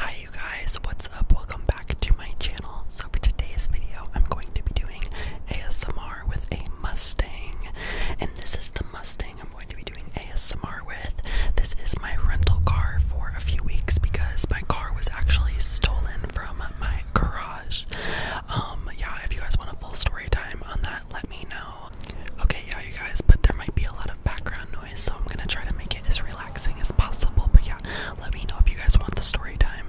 Hi you guys, what's up? Welcome back to my channel. So for today's video, I'm going to be doing ASMR with a Mustang. And this is the Mustang I'm going to be doing ASMR with. This is my rental car for a few weeks because my car was actually stolen from my garage. Um, yeah, if you guys want a full story time on that, let me know. Okay, yeah, you guys, but there might be a lot of background noise, so I'm gonna try to make it as relaxing as possible. But yeah, let me know if you guys want the story time.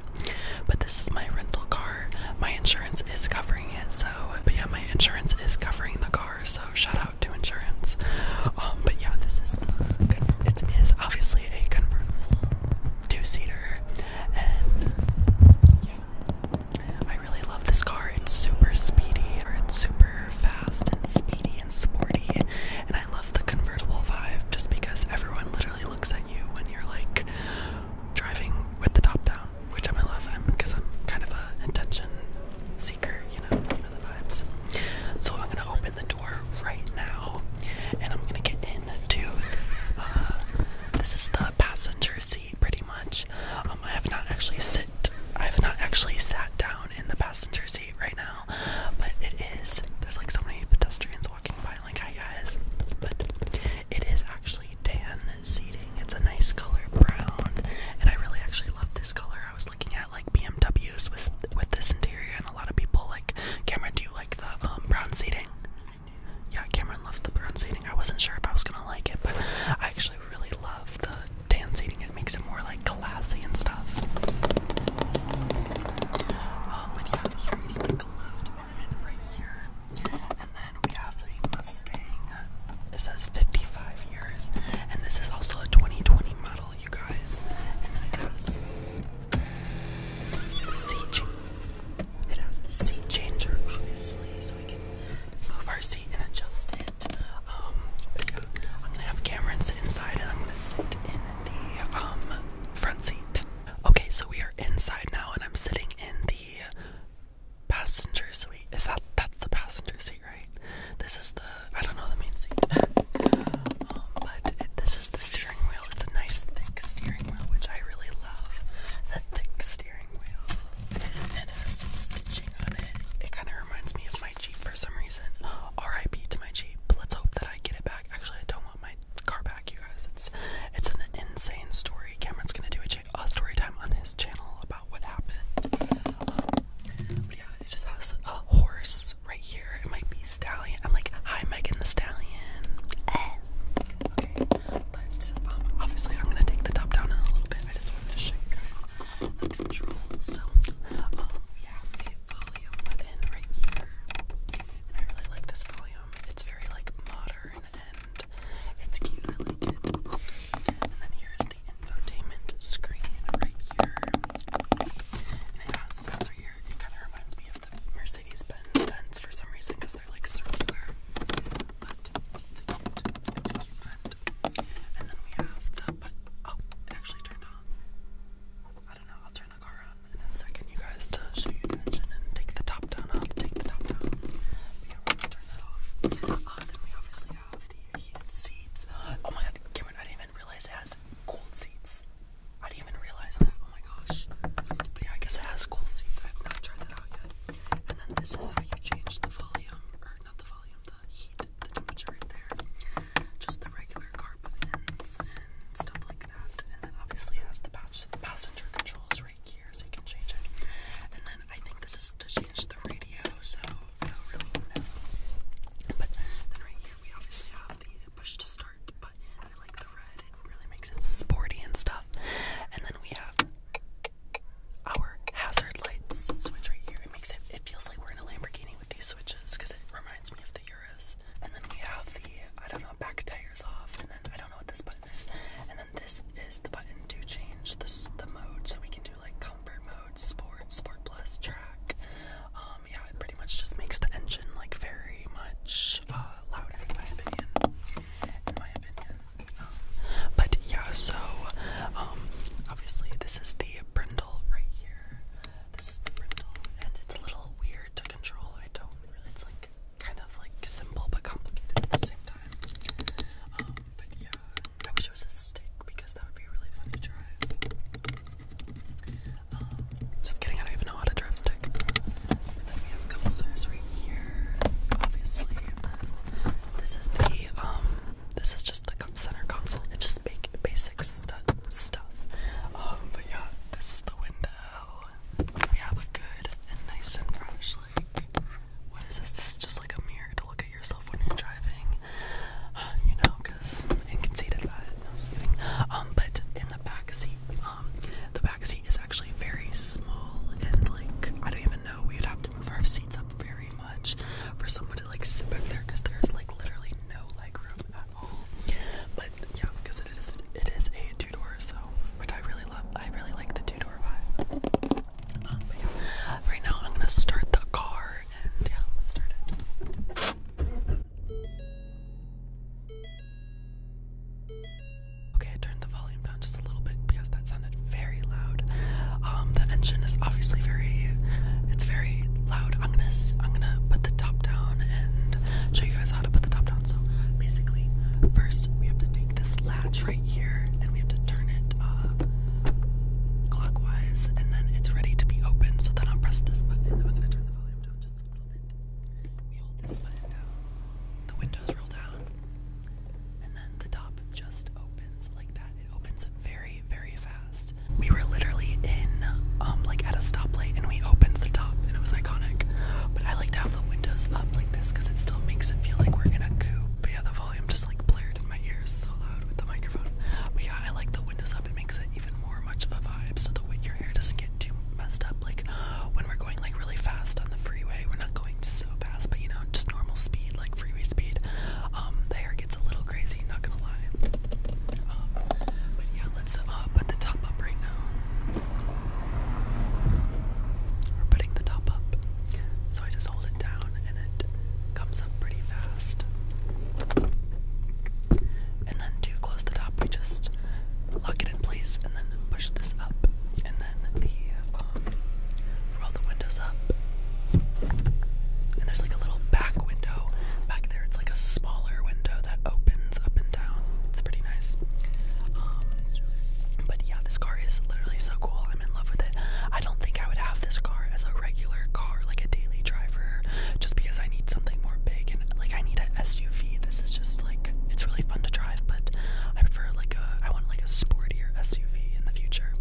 But this is my rental car. My insurance is covering it, so yeah, my insurance is covering the car, so shout out to insurance. Um, but yeah, this is it is obviously a convertible two-seater, and yeah, I really love this car. It's super speedy, or it's super fast and speedy and sporty, and I love the convertible vibe just because everyone literally looks at you when you're like driving with the top down, which i love because I'm kind of a attention seeker, you know, you know the vibes. So I'm gonna open the door right now, and I'm gonna get into. Uh, this is the passenger seat, pretty much. Um, I have not actually sit I've not actually sat down in the passenger seat right now. But it is, there's like so many pedestrians walking by, like, hi guys. But it is actually tan seating. It's a nice color brown, and I really actually love this color. I was looking at like BMWs with with this interior, and a lot of people like, Cameron, do you like the um, brown seating? Yeah, Cameron loves the brown seating. I wasn't sure if I was gonna like it, but I actually really love the tan seating it makes it more like classy and stuff. Um, but yeah, here's the glove department right here. And then we have the Mustang. It says 55 years. And this is also a 2020 model, you guys. And it has the seat It has the seat changer, obviously, so we can move our seat and adjust it. Um, I'm gonna have Cameron sit inside and I'm gonna sit in the um, front seat. Okay, so we are inside now and I'm sitting in the passenger seat. Is that that's the passenger seat, right? This is the I don't know the main seat. Um, but this is the steering wheel. It's a nice thick steering wheel, which I really love. The thick steering it kind of reminds me of my Jeep for some reason. RIP to my Jeep. Let's hope that I get it back. Actually, I don't want my car back, you guys. It's it's an insane story. Cameron's gonna do a, story time on his channel about what happened. but yeah, it just has a horse right here. It might be stallion. I'm like, hi, Megan the Stallion. Okay, but um, obviously I'm gonna take the top down in a little bit. I just wanted to show you guys the controls. So, um, yeah, a volume button right here. And I really like this volume. It's very like modern and it's cute. I like it. And then here is the infotainment screen right here. And it has buttons right here. It kind of reminds me of the Mercedes-Benz for some reason because they're like circular. And then we have the oh, it actually turned on. I don't know, I'll turn the car on in a second, you guys, to show you the engine and take the top down. take the top down. we're gonna turn that off. Uh, then we obviously have the heated seats. Oh my god, I didn't even realize it has cold seats. I didn't even realize that. Oh my gosh. But yeah, I guess it has cool seats. I have not tried that out yet. And then this is how you change the volume, or not the volume, the heat, the temperature in there. Just the regular car buttons and stuff like that. And then obviously has the passenger controls right here, so you can change it. And then I think this is to change the radio, so I don't really know. But then right here we obviously have the push to start button. I like the red, it really makes it sporty and stuff. And then we have our hazard lights switch right here. It makes it it feels like we're in a Lamborghini with these switches because it reminds me of the Urus. And then we have the I don't know back tires off, and then I don't know what this button is. And then this is the button to change this the mode, so we can do like comfort mode, sport, sport plus, track. Um, yeah, it pretty much just makes the engine like very much uh, louder, in my opinion. In my opinion. But yeah, so um, obviously this is the brindle right here. This is the brindle, and it's a little weird to control. I don't really. It's like kind of like simple but complicated at the same time. Um, but yeah, I wish it was a stick because that would be really fun to drive. Um, just kidding. I don't even know how to drive stick we have a right here, obviously. this is the um, this is just the center console. It's just basic stuff. Um, but yeah, this is the window. We have a good and nice and fresh What is this? This is just like a mirror to look at yourself when you're driving. Um, you know, because inconceivable. No, kidding. Um, but in the back seat seat. Um, the back seat is actually very small, and like I don't even know. We'd have to move our seats up very much for someone to like sit back there because there's like literally no leg room at all. But yeah, because it is it is a two door, so which I really love. I really like the two door vibe. Um, but yeah, right now I'm gonna start the car, and yeah, let's start it. Okay, I turned the volume down just a little bit because that sounded very loud. Um, the engine is obviously very, it's very loud. I'm gonna, I'm gonna put the top down and show you guys how to put the top down. So basically, first we have to take this latch right here and we have to turn it up uh, clockwise, and then it's ready to be open. So then I'll press this button. I'm gonna turn the volume down just a little bit. We hold this button down. The window windows opens like very, very fast. We were literally in, um, like at a stoplight, and we opened the top, and it was iconic. But I like to have the windows up like this because it still makes it feel like we're in a coupe. But yeah, the volume just like blared in my ears so loud with the microphone. But yeah, I like the windows up. It makes it even more much of a vibe. So the you're hair doesn't get too messed up. Like when we're going like really fast on the freeway, we're not going so fast, but you know, just normal speed, like freeway speed. Um, the hair gets a little crazy. Not gonna lie. Um, but yeah, let's uh, put the top up right now. We're putting the top up, so I just hold it down and it comes up pretty fast and then to close the top, we just lock it in place and then push this up, and then the um, roll the windows up. And there's like a little back window back there. It's like a smaller window that opens up and down. It's pretty nice. Um, but yeah, this car is literally so cool. I'm in love with it. I don't think I would have this car as a regular car, like a daily driver, just because I need something more big and like I need an SUV. This is just like it's really fun to drive, but I prefer like a I want like a sportier SUV in the future.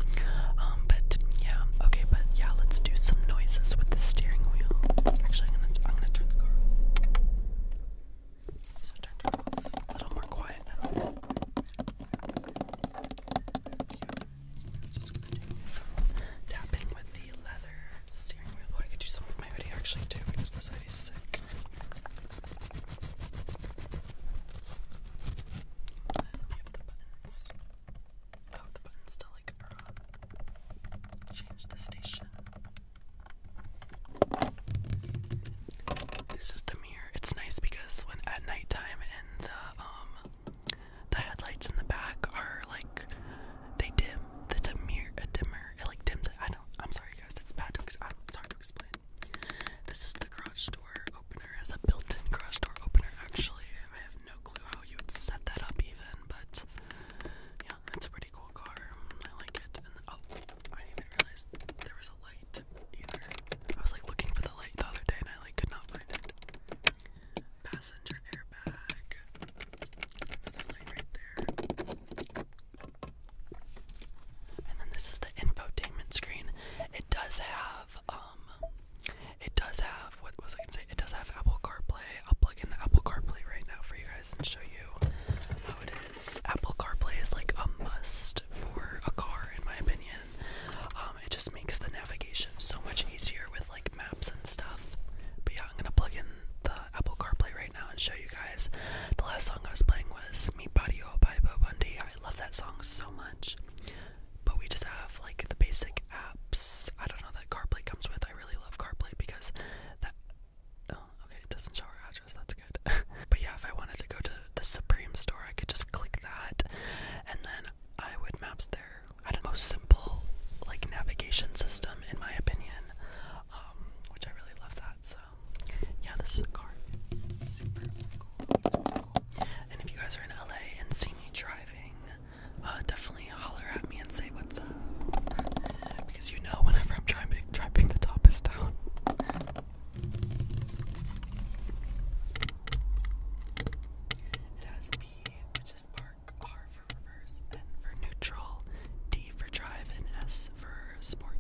Um, but yeah, okay, but yeah, let's do some noises with the steering wheel. Actually, I'm gonna I'm gonna turn the car A little more quiet now. Just gonna do some tapping with the leather steering wheel. I could do some with my video. actually too because this hoodie is sick. we have the buttons. Oh, the buttons to like Change the station. This is the mirror. It's nice because when at nighttime and the um the headlights in the back are like they dim. That's a mirror, a dimmer. It like dims. I don't. I'm sorry, guys. That's bad to. Ex to explain. This is the garage door opener. It has a built-in garage door opener. Actually, I have no clue how you would set that up even, but yeah, it's a pretty cool car. I like it. And oh, I didn't even realize there was a light either. I was like looking for the light the other day, and I like could not find it passenger airbag. right there. And then this is the infotainment screen. It does have um it does have what was I gonna say? It does have Apple CarPlay. I'll plug in the Apple CarPlay right now for you guys and show you how it is. Apple CarPlay is like a must for a car in my opinion. Um it just makes the navigation so much easier with like maps and stuff. But yeah, I'm gonna plug in the Apple CarPlay right now and show you guys. The last song I was playing was "Mi Patio" by Bo Bundy. I love that song so much. But we just have like the basic apps. I don't know that CarPlay comes with. I really love CarPlay because that. Oh, okay, it doesn't show our address. That's good. but yeah, if I wanted to go to the Supreme store, I could just click that, and then I would Maps there I don't most simple like navigation system in my opinion, um, which I really love that. So yeah, this is a car. And if you guys are in LA and see me driving, uh, definitely holler at me and say what's up, because you know whenever I'm driving, driving the top is down. It has B, which is bar R for reverse, N for neutral, D for drive, and S for sport.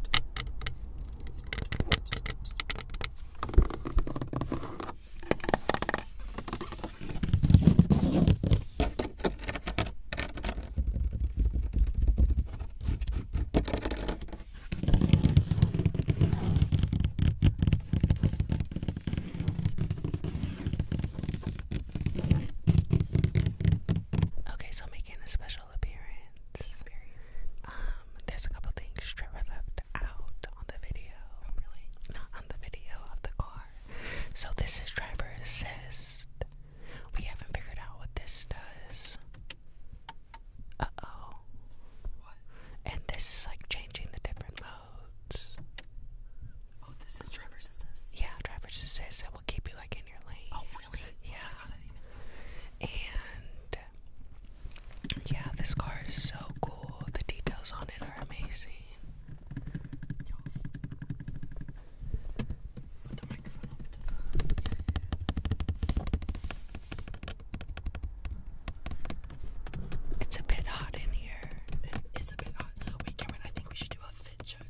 Okay, so making a special appearance. Um, there's a couple things Trevor left out on the video. Oh, on the video of the car. So this is driver assist. We haven't figured out what this does. Uh oh. What? And this is like changing the different modes. Oh, yeah, driver's assist. It will keep you like in your lane. Oh, really? Oh yeah. and yeah, this car is so cool. The details on it are amazing. Put the microphone up it's a bit hot in here. It is a bit hot. Wait, Cameron, I think we should do a fit check.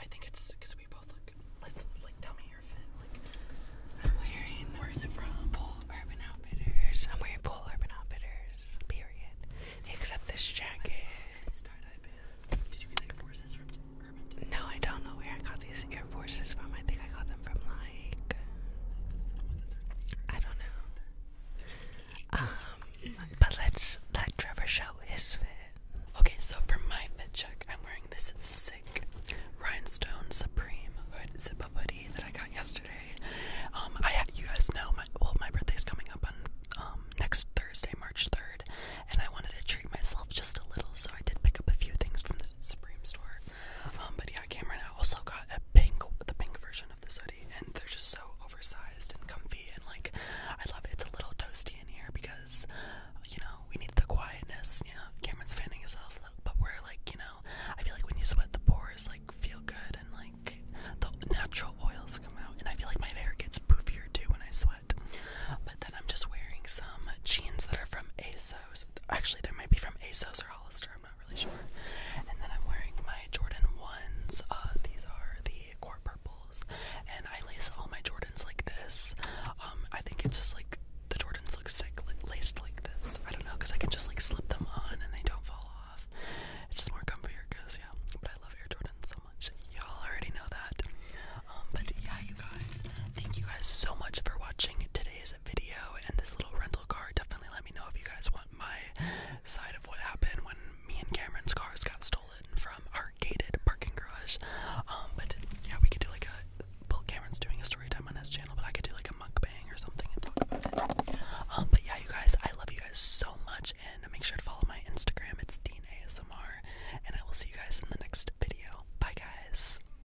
I think it's because we both look. Let's like tell me your fit. Like, I'm wearing. Where is it from? Full Urban Outfitters. I'm wearing Full Urban Outfitters. Period. Except this jacket. Did you get Air Forces from Urban? No, I don't know where I got these Air Forces from. I think I got them from Line. I don't know. Um, but let's let Trevor show his fit. Okay, so for my fit check, I'm wearing this sick rhinestone supreme hood zip-up hoodie that I got yesterday. Um, I you guys know my well my birthday's coming up on um next Thursday, March third, and I wanted to treat myself just a little, so I did pick up a few things from the Supreme store. Um, but yeah, Cameron also got a pink, the pink version of this hoodie, and they're just so oversized and comfy, and like, I love it. It's a little toasty in here because, you know, we need the quietness. You know, Cameron's fanning himself, but we're like, you know, I feel like when you sweat, the pores like feel good, and like the natural oils come out, and I feel like my hair gets poofier too when I sweat. But then I'm just wearing some jeans that are from ASOS. Actually, they might be from ASOS or Hollister not really sure. And then I'm wearing my Jordan 1s. Uh, these are the core purples. And I lace all my Jordans like this. Um, I think it's just like the Jordans look sick laced like this. I don't know, because I can just like slip them on and they don't fall off. It's just more comfier, because yeah. But I love Air Jordans so much. Y'all already know that. Um, but yeah, you guys, thank you guys so much for watching today's video and this little rental car. Definitely let me know if you guys want my side of what happened when me and Cameron's cars got stolen from our gated parking garage. Um, but yeah, we could do like a well, Cameron's doing a story time on his channel, but I could do like a mukbang or something and talk about it. Um, but yeah, you guys, I love you guys so much, and make sure to follow my Instagram. It's Dean ASMR, and I will see you guys in the next video. Bye, guys.